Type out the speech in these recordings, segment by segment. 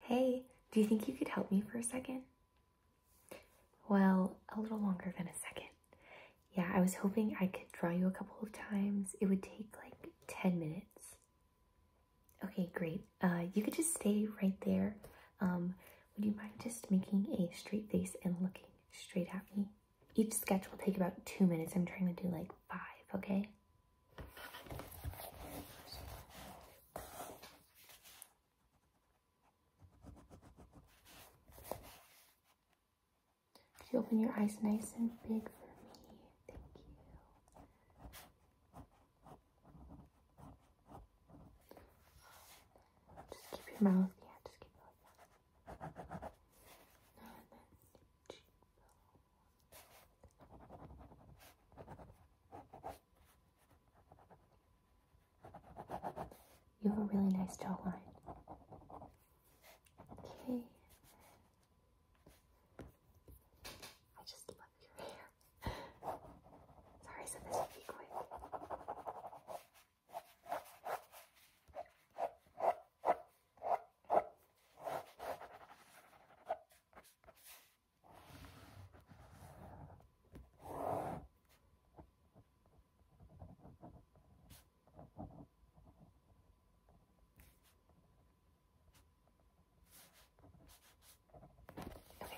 Hey, do you think you could help me for a second? Well, a little longer than a second. Yeah, I was hoping I could draw you a couple of times. It would take like 10 minutes. Okay, great. Uh, you could just stay right there. Um, would you mind just making a straight face and looking straight at me? Each sketch will take about two minutes. I'm trying to do like five, okay? Could you open your eyes nice and big for me? Thank you. Just keep your mouth. Yeah, just keep it like you have a really nice jawline. Okay. I just love your hair. Sorry, so this would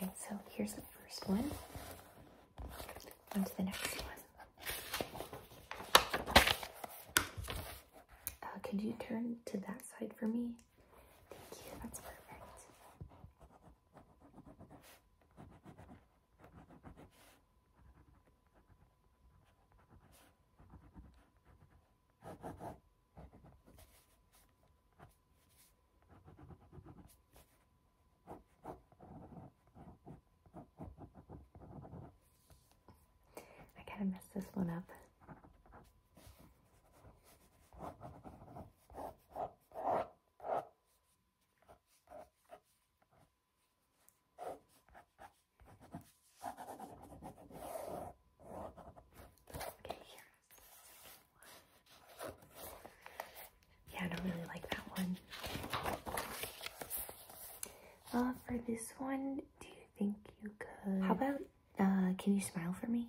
Okay, so here's the first one. On to the next one. Uh, could you turn to that side for me? Thank you, that's perfect. I gotta mess this one up. Yeah, I don't really like that one. Uh, for this one, do you think you could? How about, uh, can you smile for me?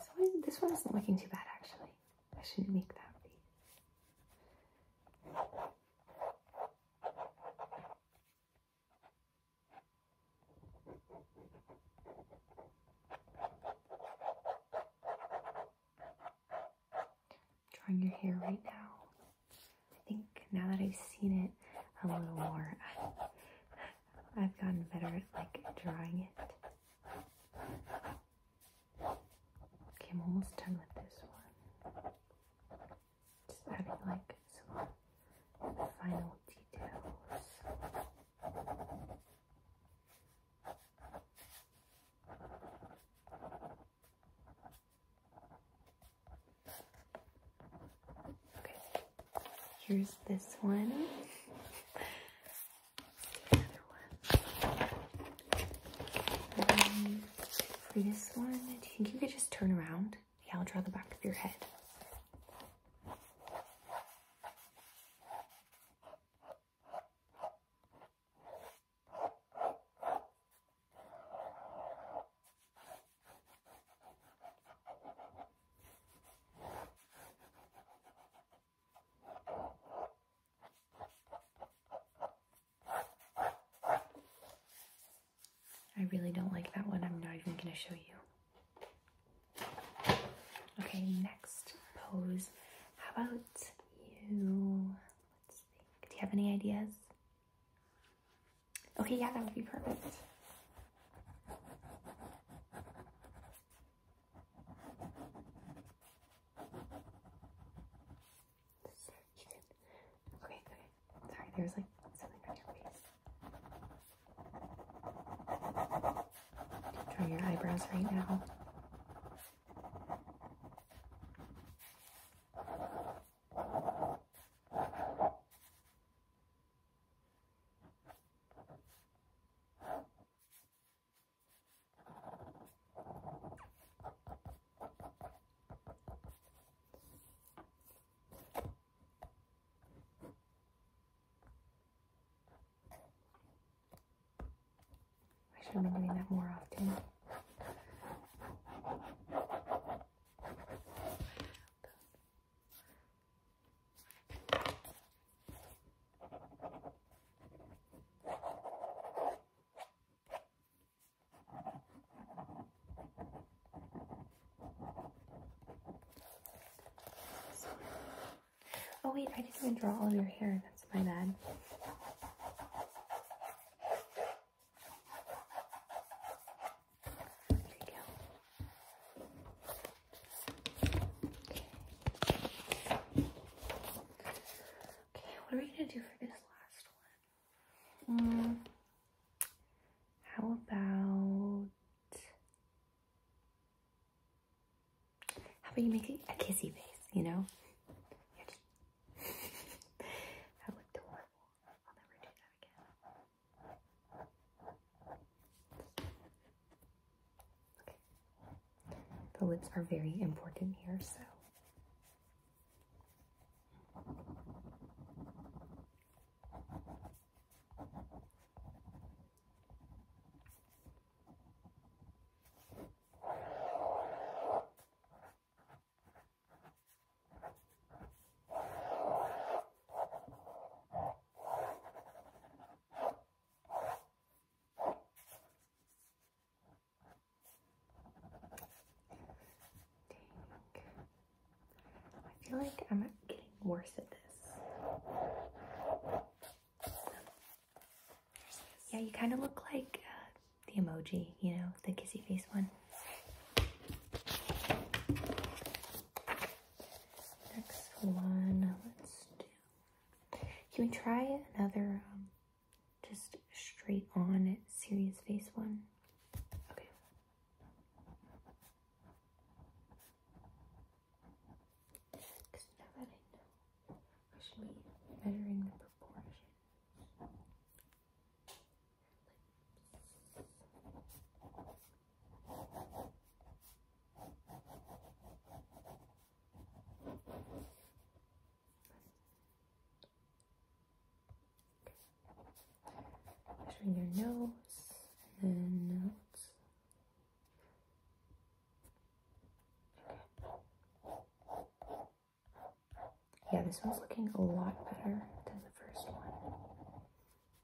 So this one isn't looking too bad actually. I shouldn't make that be. Drawing your hair right now. I think now that I've seen it a little more, I've gotten better at like drawing it. Okay, I'm almost done with this one. Just adding like some final details. Okay. Here's this one. The one. for this one, do you think you could just turn around? Yeah, I'll draw the back of your head. I really don't like that one. I'm not even going to show you. Okay, next pose. How about you? Do you have any ideas? Okay, yeah, that would be perfect. Okay, okay. Sorry, There's like something on your face. Draw your eyebrows right now. I should have been doing that more often. Oh wait, I didn't even draw all of your hair. That's my bad. There you go. Okay, what are we gonna do for this last one? Mm, how about how about you make a kissy face? You know, just... that looked I'll never do that again. The lips are very important here, so. I feel like I'm getting worse at this. Yeah, you kind of look like uh, the emoji, you know, the kissy face one. Next one, let's do. Can we try another um, just straight on serious face one? Okay. Because now that I know, I should be measuring the proportions. Measuring your nose and then notes. Yeah, this one's looking a lot better than the first one.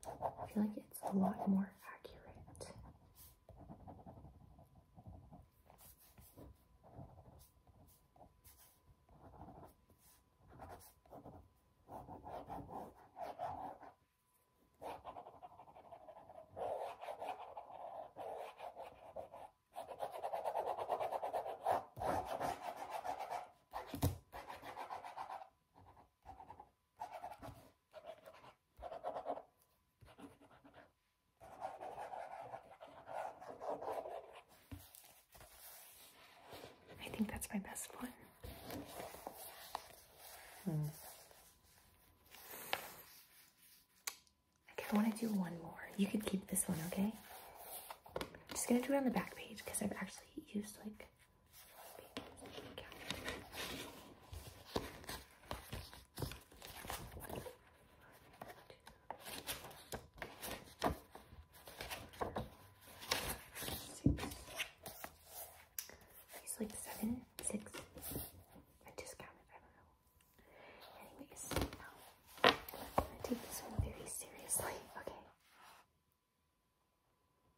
I feel like it's a lot more accurate. I think that's my best one. Hmm. Okay, I want to do one more. You could keep this one, okay? I'm just gonna do it on the back page because I've actually used like. He's like seven, six. I just counted, I don't know. Anyways, um, I'm gonna take this one very seriously. Okay.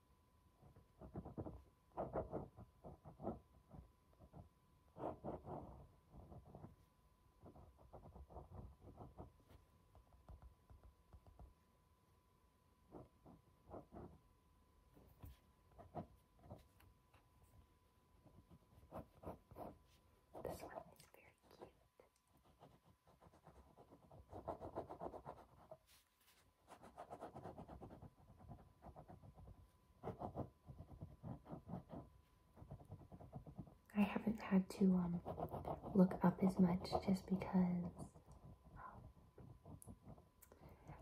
This one is very cute. I haven't had to um, look up as much just because um,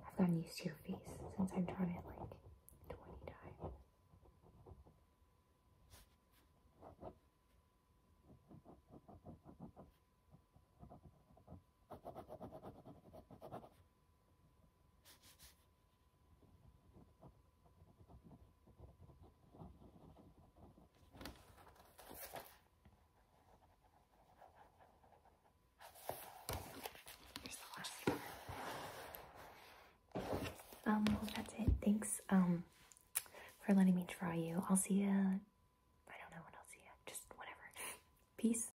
I've gotten used to your face since I've drawn it like 20 times. Um, well, that's it. Thanks, um, for letting me draw you. I'll see you. I don't know when I'll see you. Just whatever. Peace.